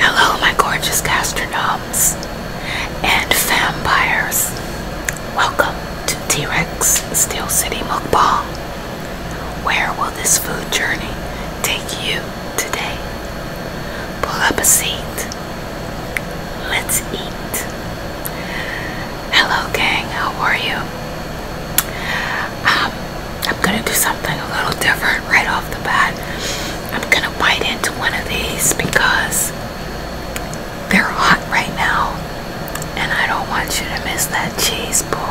Hello, my gorgeous gastronomes and vampires. Welcome to T Rex Steel City Mukbang. Where will this food journey take you today? Pull up a seat, Let's eat. Hello, gang. How are you? Um, I'm gonna do something a little different right off the bat. I'm gonna bite into one of these because they're hot right now, and I don't want you to miss that cheese bowl.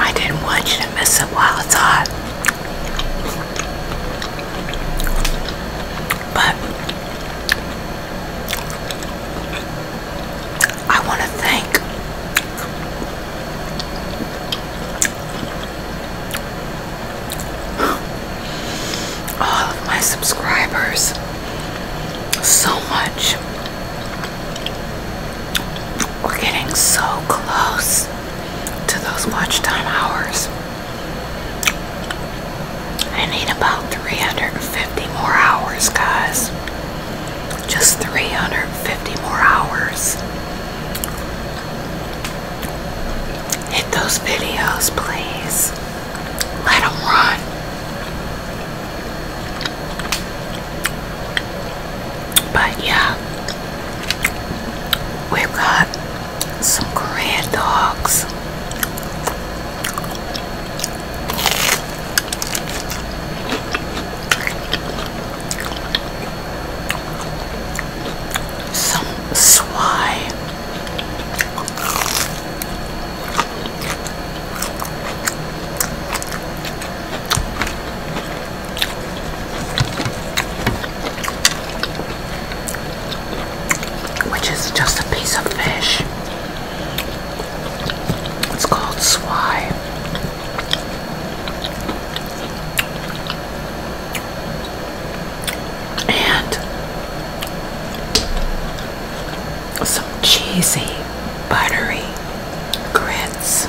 I didn't want you to miss it while it's hot. But I want to thank all oh, of my subscribers so much. We're getting so close to those watch time hours. I need about 350 more hours, guys. Just 350 more hours. Hit those videos, please. Let them run. But yeah, we've got some Korean dogs. Some swine. Which is just a piece of fish. It's called swai and some cheesy buttery grits.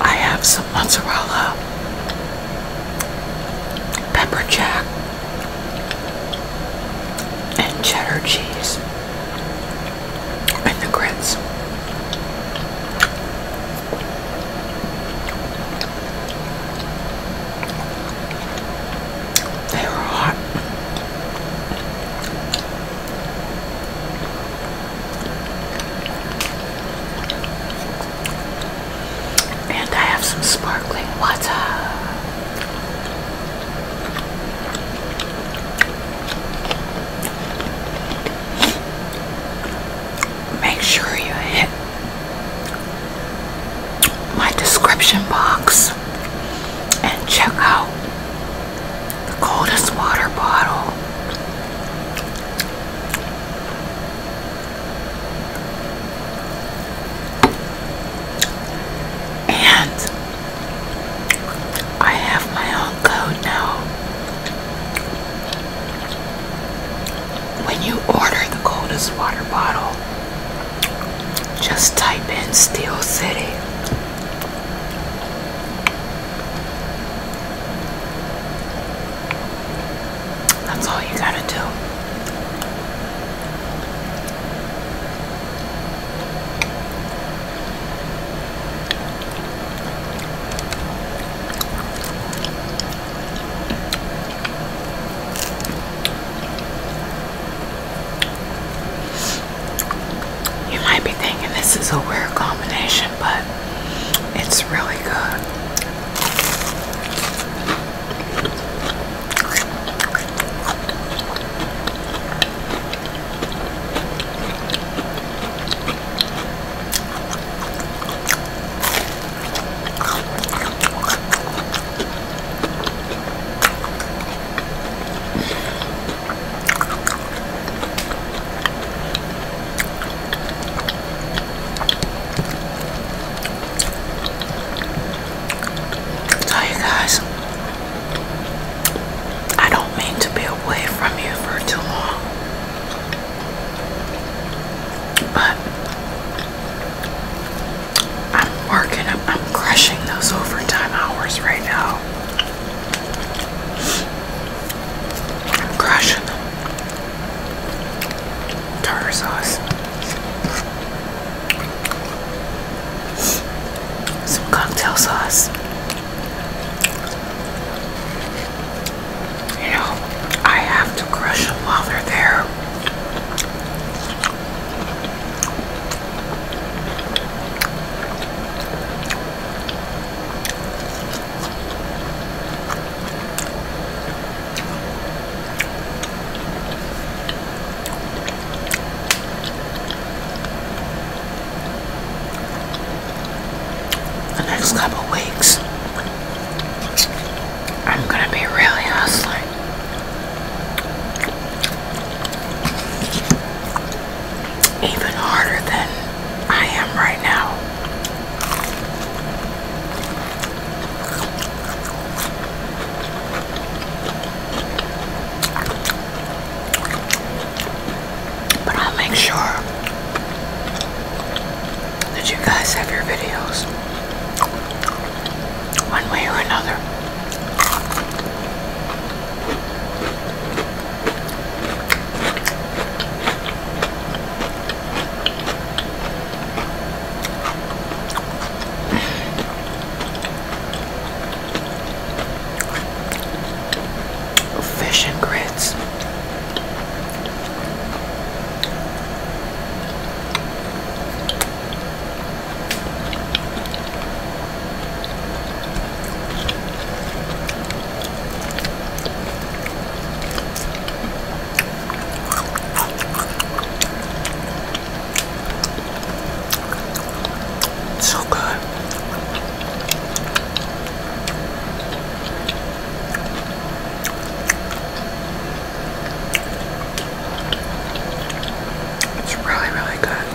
I have some mozzarella, pepper jack, and cheddar cheese, and the grits. They were hot. And I have some sparkling water. Make sure you hit my description box and check out the coldest water bottle. And I have my own code now. When you order the coldest water bottle, just type in Steel City that's all you gotta do. You might be thinking this is a weird combination, but it's really good. So you guys, I don't mean to be away from you for too long, but I'm working, I'm, I'm crushing those overtime hours right now. Crushing tartar sauce. Some cocktail sauce. You know, I have to crush them while they're there. The next couple weeks, I'm going to be really hustling even harder than I am right now. But I'll make sure that you guys have your videos one way or another. Oh, fish and grits. So good. It's really, really good.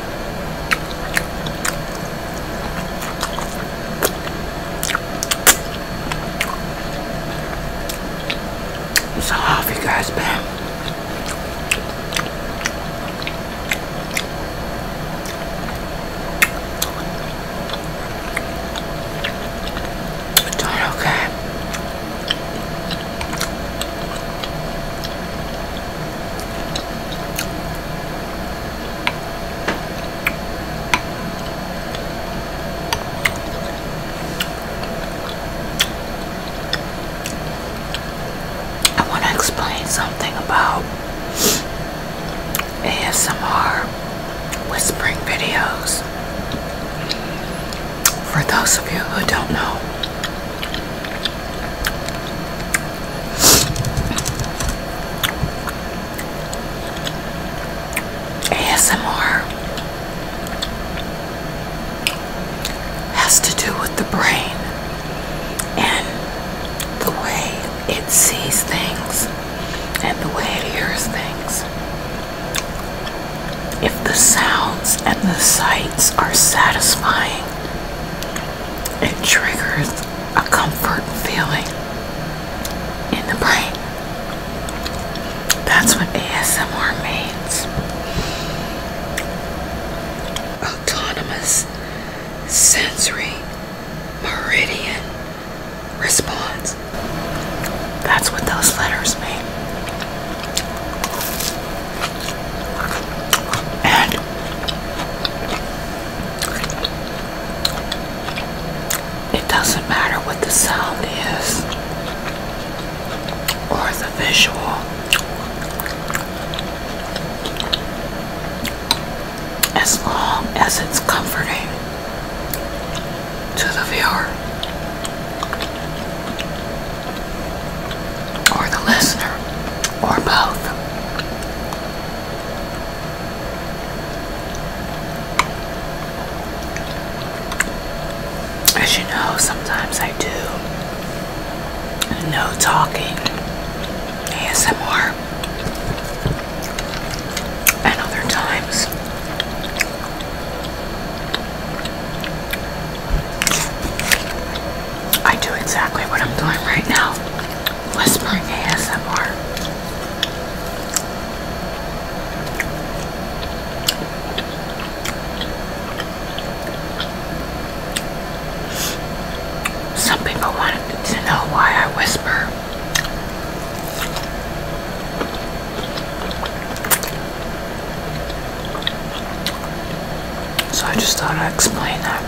So how have you guys been? okay. I want to explain something about ASMR whispering videos. For those of you who don't know, ASMR has to do with the brain and the way it sees things and the way it hears things. If the sounds and the sights are satisfying, it triggers a comfort feeling in the brain. That's what ASMR means. Autonomous sensory meridian response. That's what those letters mean. And it doesn't matter what the sound is or the visual. As long as it's comforting to the viewer or the listener, or both. As you know, sometimes I do no talking ASMR, and other times I do exactly what I'm doing right now whispering ASMR. Some people wanted to know why I whisper. So I just thought I'd explain that.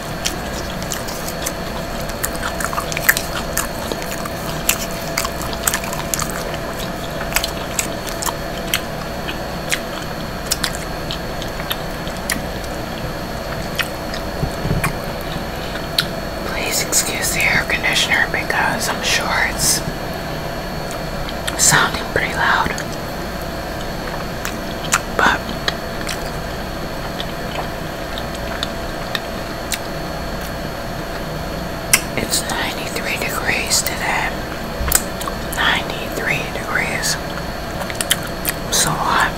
Please excuse the air conditioner because I'm sure it's sounding pretty loud. But it's 93 degrees today. 93 degrees. So hot.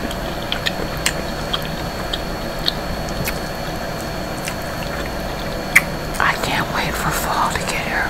I can't wait for fall to get here.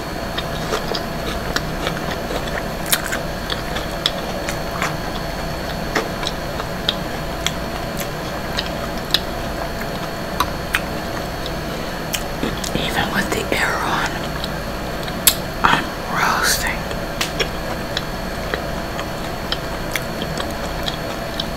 Even with the air on, roasting.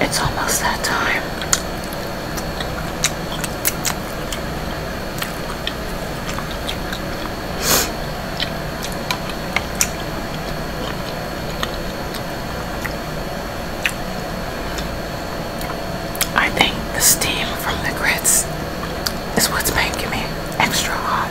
It's almost that time. I think the steam from the grits is what's making me extra hot.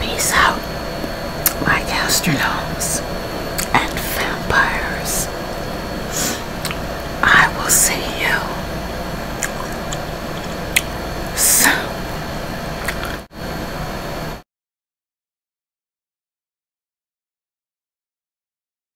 Peace out, my gastronomes and vampires. I will see you soon.